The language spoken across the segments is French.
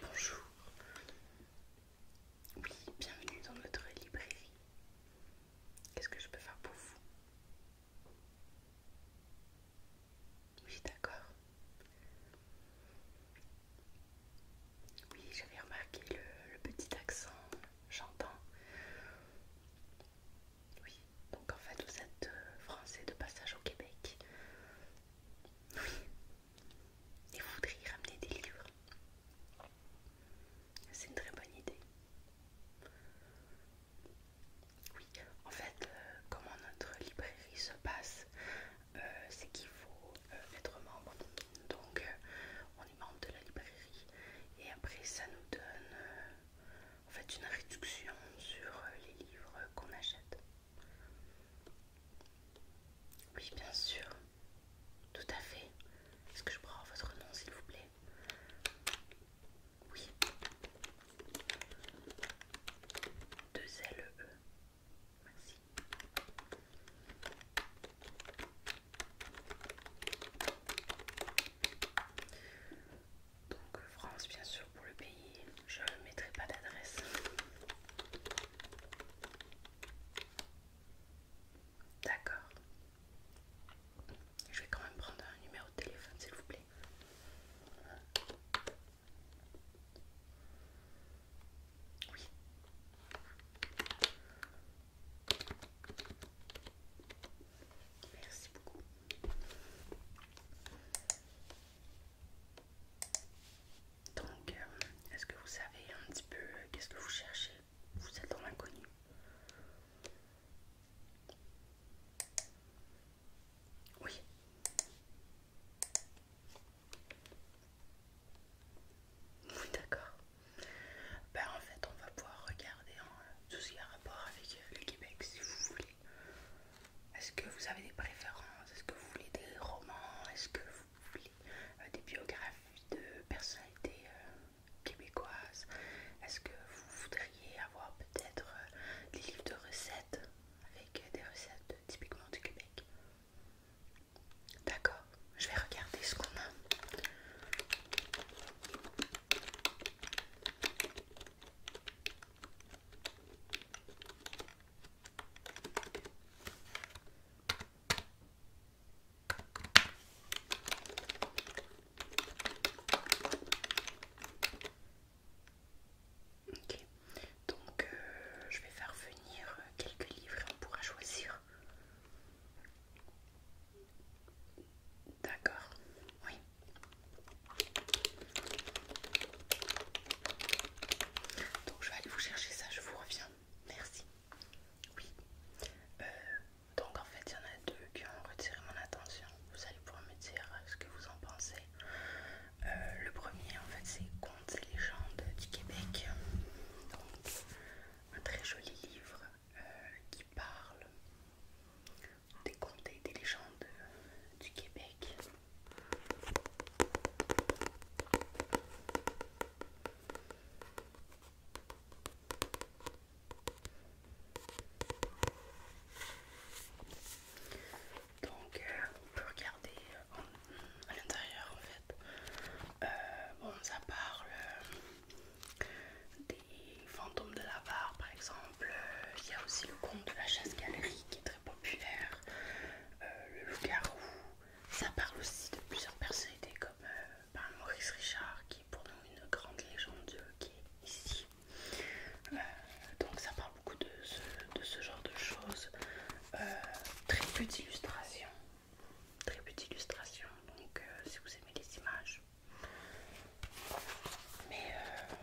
Bonjour, oui, bienvenue dans notre librairie. Qu'est-ce que je peux faire pour vous Oui, d'accord. Oui, j'avais remarqué le, petit accent, j'entends. Oui, donc en fait, vous êtes euh, français de passage au Québec. Oui. Et vous voudriez ramener des livres c'est une très bonne idée. Oui, en fait, euh, comment notre librairie se passe, euh, c'est qu'il faut euh, être membre. Donc, on est membre de la librairie et après, ça nous donne en fait une réduction sur les livres qu'on achète. Oui, bien sûr. Tout à fait. Est-ce que je prends votre nom, s'il vous plaît oui. 2 E. Merci. Donc France bien sûr pour le pays, je ne mettrai pas d'adresse. D'accord. Je vais quand même prendre un numéro de téléphone, s'il vous plaît. Oui. Merci beaucoup. Donc, euh, est-ce que vous savez un petit peu euh, qu'est-ce que vous cherchez vous êtes dans l'inconnu. Oui. Oui, d'accord. Ben, en fait, on va pouvoir regarder hein, tout ce qui a rapport avec le Québec si vous voulez. Est-ce que vous avez des préférences Est-ce que vous voulez des romans Est-ce que vous voulez euh, des biographies de personnalités euh, québécoise Est-ce que vous voudriez avoir peut-être euh, des livres de recettes avec des recettes typiquement du Québec D'accord, je vais regarder ce qu'on a. Ok, donc euh, je vais faire venir euh, quelques livres et on pourra choisir. D'accord, oui. Donc je vais aller vous chercher ça, je vous reviens. Merci. Oui. Euh, donc en fait, il y en a deux qui ont retiré mon attention. Vous allez pouvoir me dire ce que vous en pensez. Euh, le premier, en fait, c'est Contes et légendes du Québec. Donc, un très joli livre euh, qui parle des contes et des légendes du Québec. Donc euh, on peut regarder euh, à l'intérieur en fait. Euh, bon ça parle des fantômes de la barre par exemple. Il y a aussi le compte de la chasse galerie qui est très populaire. le loup-garou, ça parle aussi de plusieurs personnalités comme euh, ben, Maurice Richard qui est pour nous une grande légende euh, qui est ici. Euh, donc ça parle beaucoup de ce, genre de choses. très peu d'illustrations. Très peu d'illustrations. Donc si vous aimez les images. Mais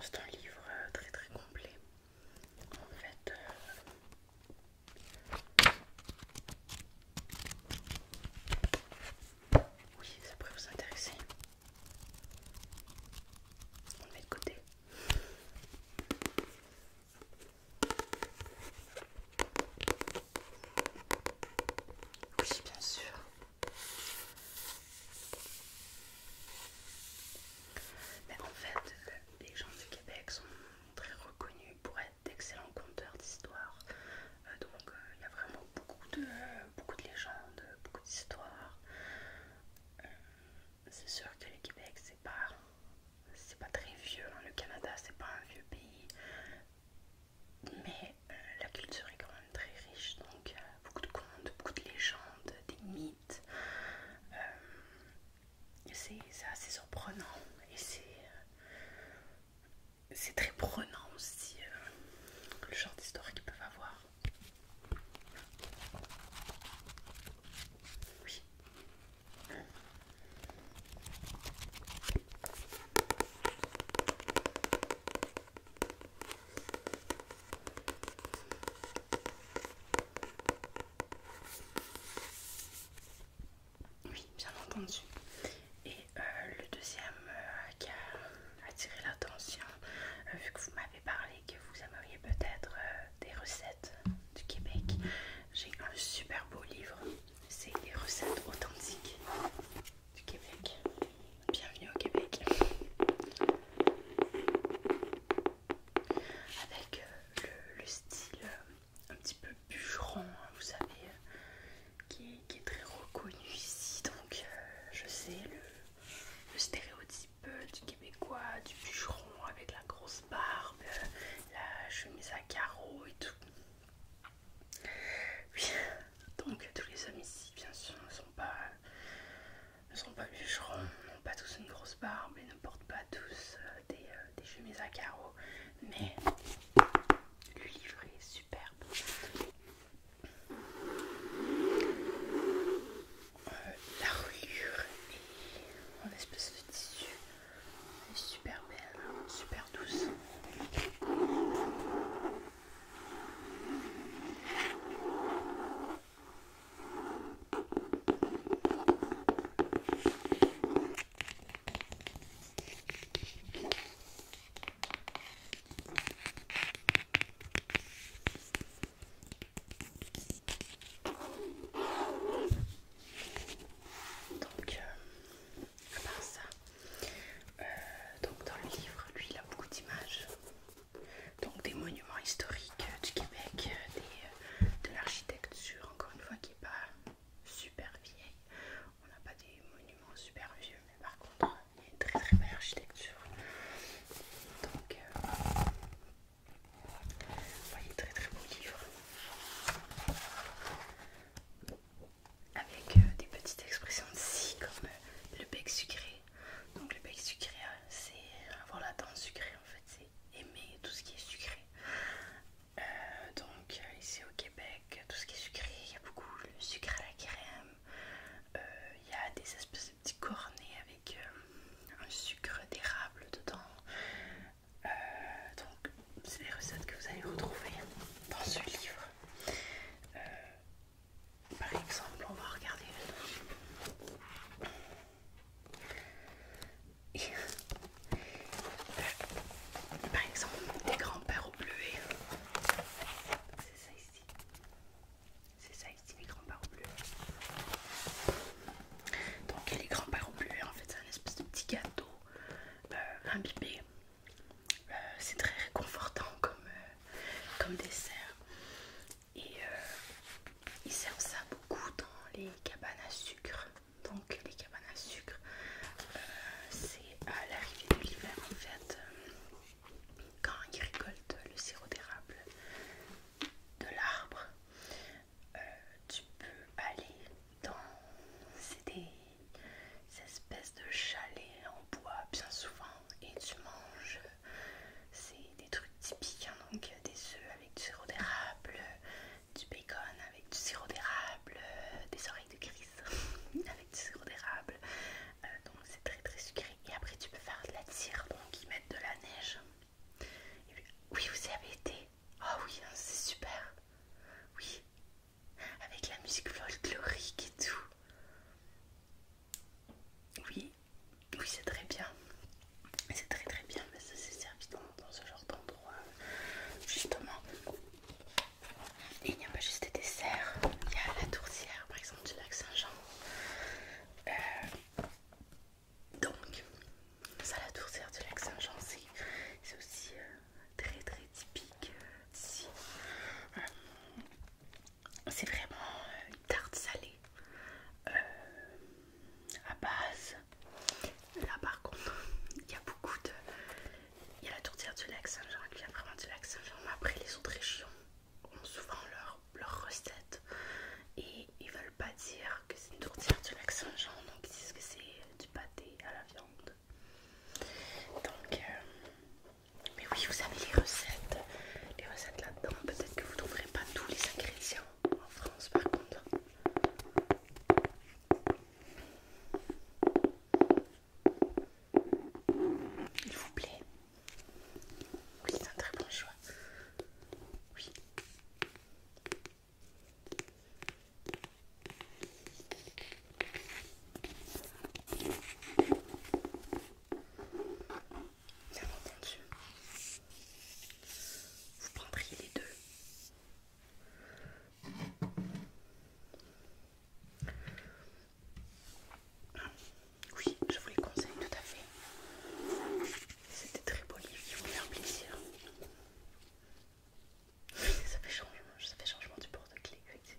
c'est un livre très très complet. En fait, oui, ça pourrait vous intéresser. On le met de côté. Oui, bien sûr. Mais en fait, euh, les gens du Québec sont très reconnus pour être d'excellents conteurs d'histoires. Euh, donc euh, il y a vraiment beaucoup de, euh, beaucoup de légendes, beaucoup d'histoires. c'est sûr que le Québec, c'est pas, c'est pas très vieux. Hein. Le Canada, c'est pas un vieux pays. Mais la culture est quand même très riche. Donc beaucoup de contes, beaucoup de légendes, des mythes. C'est assez surprenant et c'est euh, très prenant aussi euh, le genre d'histoire qu'ils peuvent avoir. Oui, bien entendu. Et euh, le deuxième euh, qui a attiré l'attention, euh, vu que vous m'avez parlé que vous aimeriez peut-être des recettes du Québec, j'ai un super beau livre. C'est les recettes authentiques du Québec. Bienvenue au Québec. Avec le style un petit peu bûcheron, hein, vous savez, euh, qui, est, très reconnu ici. Donc euh, je sais le, stéréotype euh, du québécois, du bûcheron avec la grosse barbe, la chemise à carreaux et tout. Oui, donc tous les hommes ici, bien sûr, ne sont pas, ne sont pas bûcherons, n'ont pas tous une grosse barbe et ne portent pas tous des, euh, des chemises à carreaux, mais le livret est superbe. Euh, la reliure est en espèce de tissu, elle est super belle, super douce. Donc, euh, à part ça, euh, donc dans le livre, lui, il a beaucoup d'images, donc des monuments historiques. Euh, du Québec, euh, euh, de l'architecture, encore une fois, qui n'est pas super vieille. On n'a pas des monuments super vieux, mais par contre, il y a une très très belle architecture. Donc, vous voyez, très très beau livre. Avec des petites expressions si, comme le bec sucré. Donc, le bec sucré, c'est avoir la dent sucrée en fait, aimer tout ce qui est sucré. Euh, donc euh, ici au Québec, tout ce qui est sucré, il y a beaucoup le sucre à la crème. Euh, il y a des espèces de petits cornets avec un sucre d'érable dedans. donc c'est les recettes que vous allez retrouver dans ce livre. par exemple, on va regarder par exemple, les grands-pères au bleu. C'est ça ici. C'est ça ici, les grands-pères au bleu. Donc, les grands-pères au bleuet, en fait, c'est un espèce de petit gâteau euh, imbibé. Euh, c'est très réconfortant comme, euh, comme dessert et euh, ils servent ça beaucoup dans les cabanes à sucre. Donc les cabanes à sucre, euh, c'est à l'arrivée de l'hiver en fait, quand ils récoltent le sirop d'érable de l'arbre, euh, tu peux aller dans c'est des espèces de chalets en bois bien souvent et tu manges c'est des, trucs typiques, hein, donc euh, des œufs avec du sirop d'érable, euh, du bacon avec du sirop d'érable, euh, des oreilles de grise avec du sirop d'érable. donc c'est très très sucré. Et après tu peux faire de la tire, donc ils mettent de la neige. Et puis, oui, vous y avez été. Oh oui, hein, c'est super. Oui, avec la musique folklorique et tout. Oui, oui, c'est très bien. C'est très très bien, mais ça c'est servi dans, ce genre d'endroit, justement. Et il n'y a pas juste des desserts, il y a la tourtière par exemple du lac Saint-Jean. Euh, donc, ça, la tourtière du lac Saint-Jean, c'est aussi euh, très très typique euh, d'ici. C'est vraiment euh, une tarte salée euh, à base. Là par contre, il y a beaucoup de. Il y a la tourtière du lac Saint-Jean qui vient vraiment du lac Saint-Jean. Après, les autres régions ont souvent leurs recettes et ils veulent pas dire que c'est une tourtière du lac Saint-Jean, donc ils disent que c'est du pâté à la viande. Donc, euh, mais oui, vous avez les recettes les recettes là-dedans. Peut-être que vous ne trouverez pas tous les ingrédients en France par contre. Il vous plaît Oui, c'est un très bon choix. Oui bien entendu. Vous prendriez les deux. Oui, je vous les conseille tout à fait. C'était très poli, il vont faire plaisir. Oui, ça fait changement, ça fait changement du porte-clés, effectivement.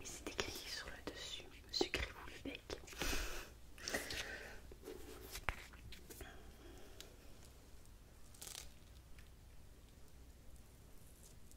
Et c'est écrit sur le dessus, sucrez-vous le bec.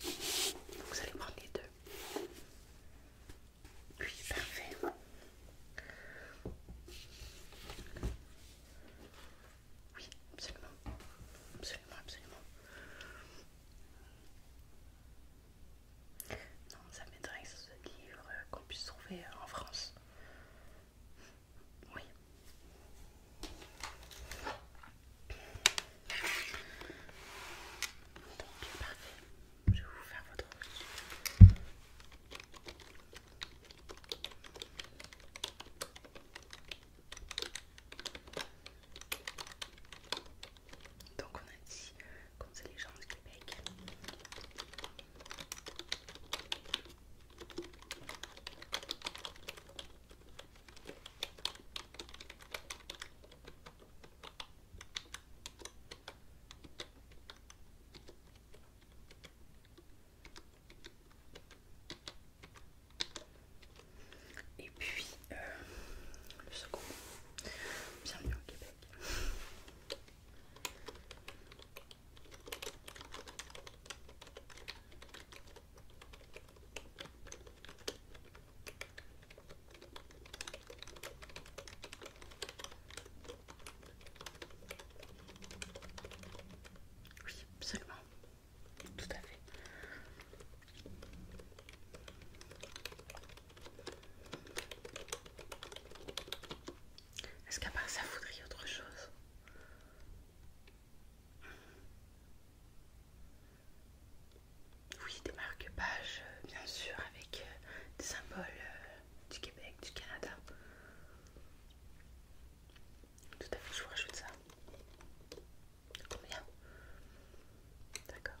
vous allez prendre les deux. Oui, parfait. Oui, absolument. Absolument, absolument. Non, ça m'intéresse ce livre qu'on puisse trouver en France. Oui, donc, parfait. Je vais vous faire votre reçu. Donc on a dit comme euh, c'est les gens du Québec. Et puis euh, le second, bienvenue au Québec. Oui, absolument. Tout à fait. Est-ce qu'à part ça, vous autre chose oui, des marque-pages, euh, bien sûr, avec euh, des symboles euh, du Québec, du Canada. Tout à fait, je vous rajoute ça. Combien D'accord.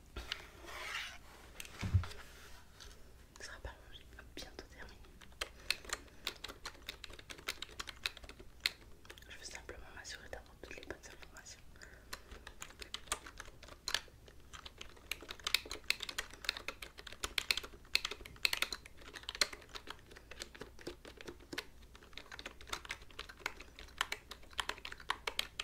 Ce sera pas long, j'ai bientôt terminé. Je veux simplement m'assurer d'avoir toutes les bonnes informations.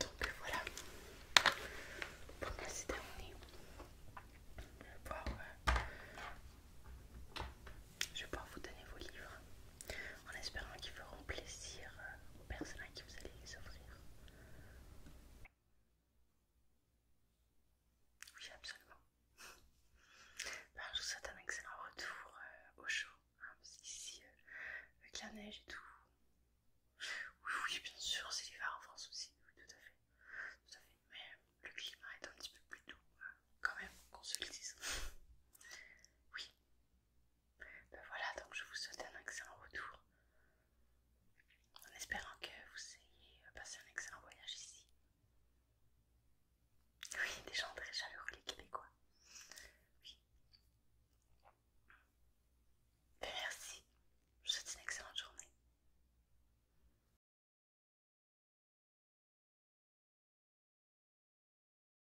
Donc euh, voilà, pour moi c'est terminé. Je euh, je vais pouvoir vous donner vos livres en espérant qu'ils feront plaisir euh, aux personnes à qui vous allez les offrir. Oui, absolument. Bah, je vous souhaite un excellent retour euh, au chaud, hein, parce qu'ici, euh, avec la neige et tout. Oui, oui, bien sûr, c'est l'hiver en France aussi, oui, tout à fait. mais le climat est un petit peu plus doux, hein, quand même, qu'on se le dise. Oui, ben voilà, donc je vous souhaite un excellent retour. En espérant que vous ayez passé un excellent voyage ici. Oui, des gens très chaleureux, les Québécois. Oui. Ben merci. Je vous souhaite une excellente journée.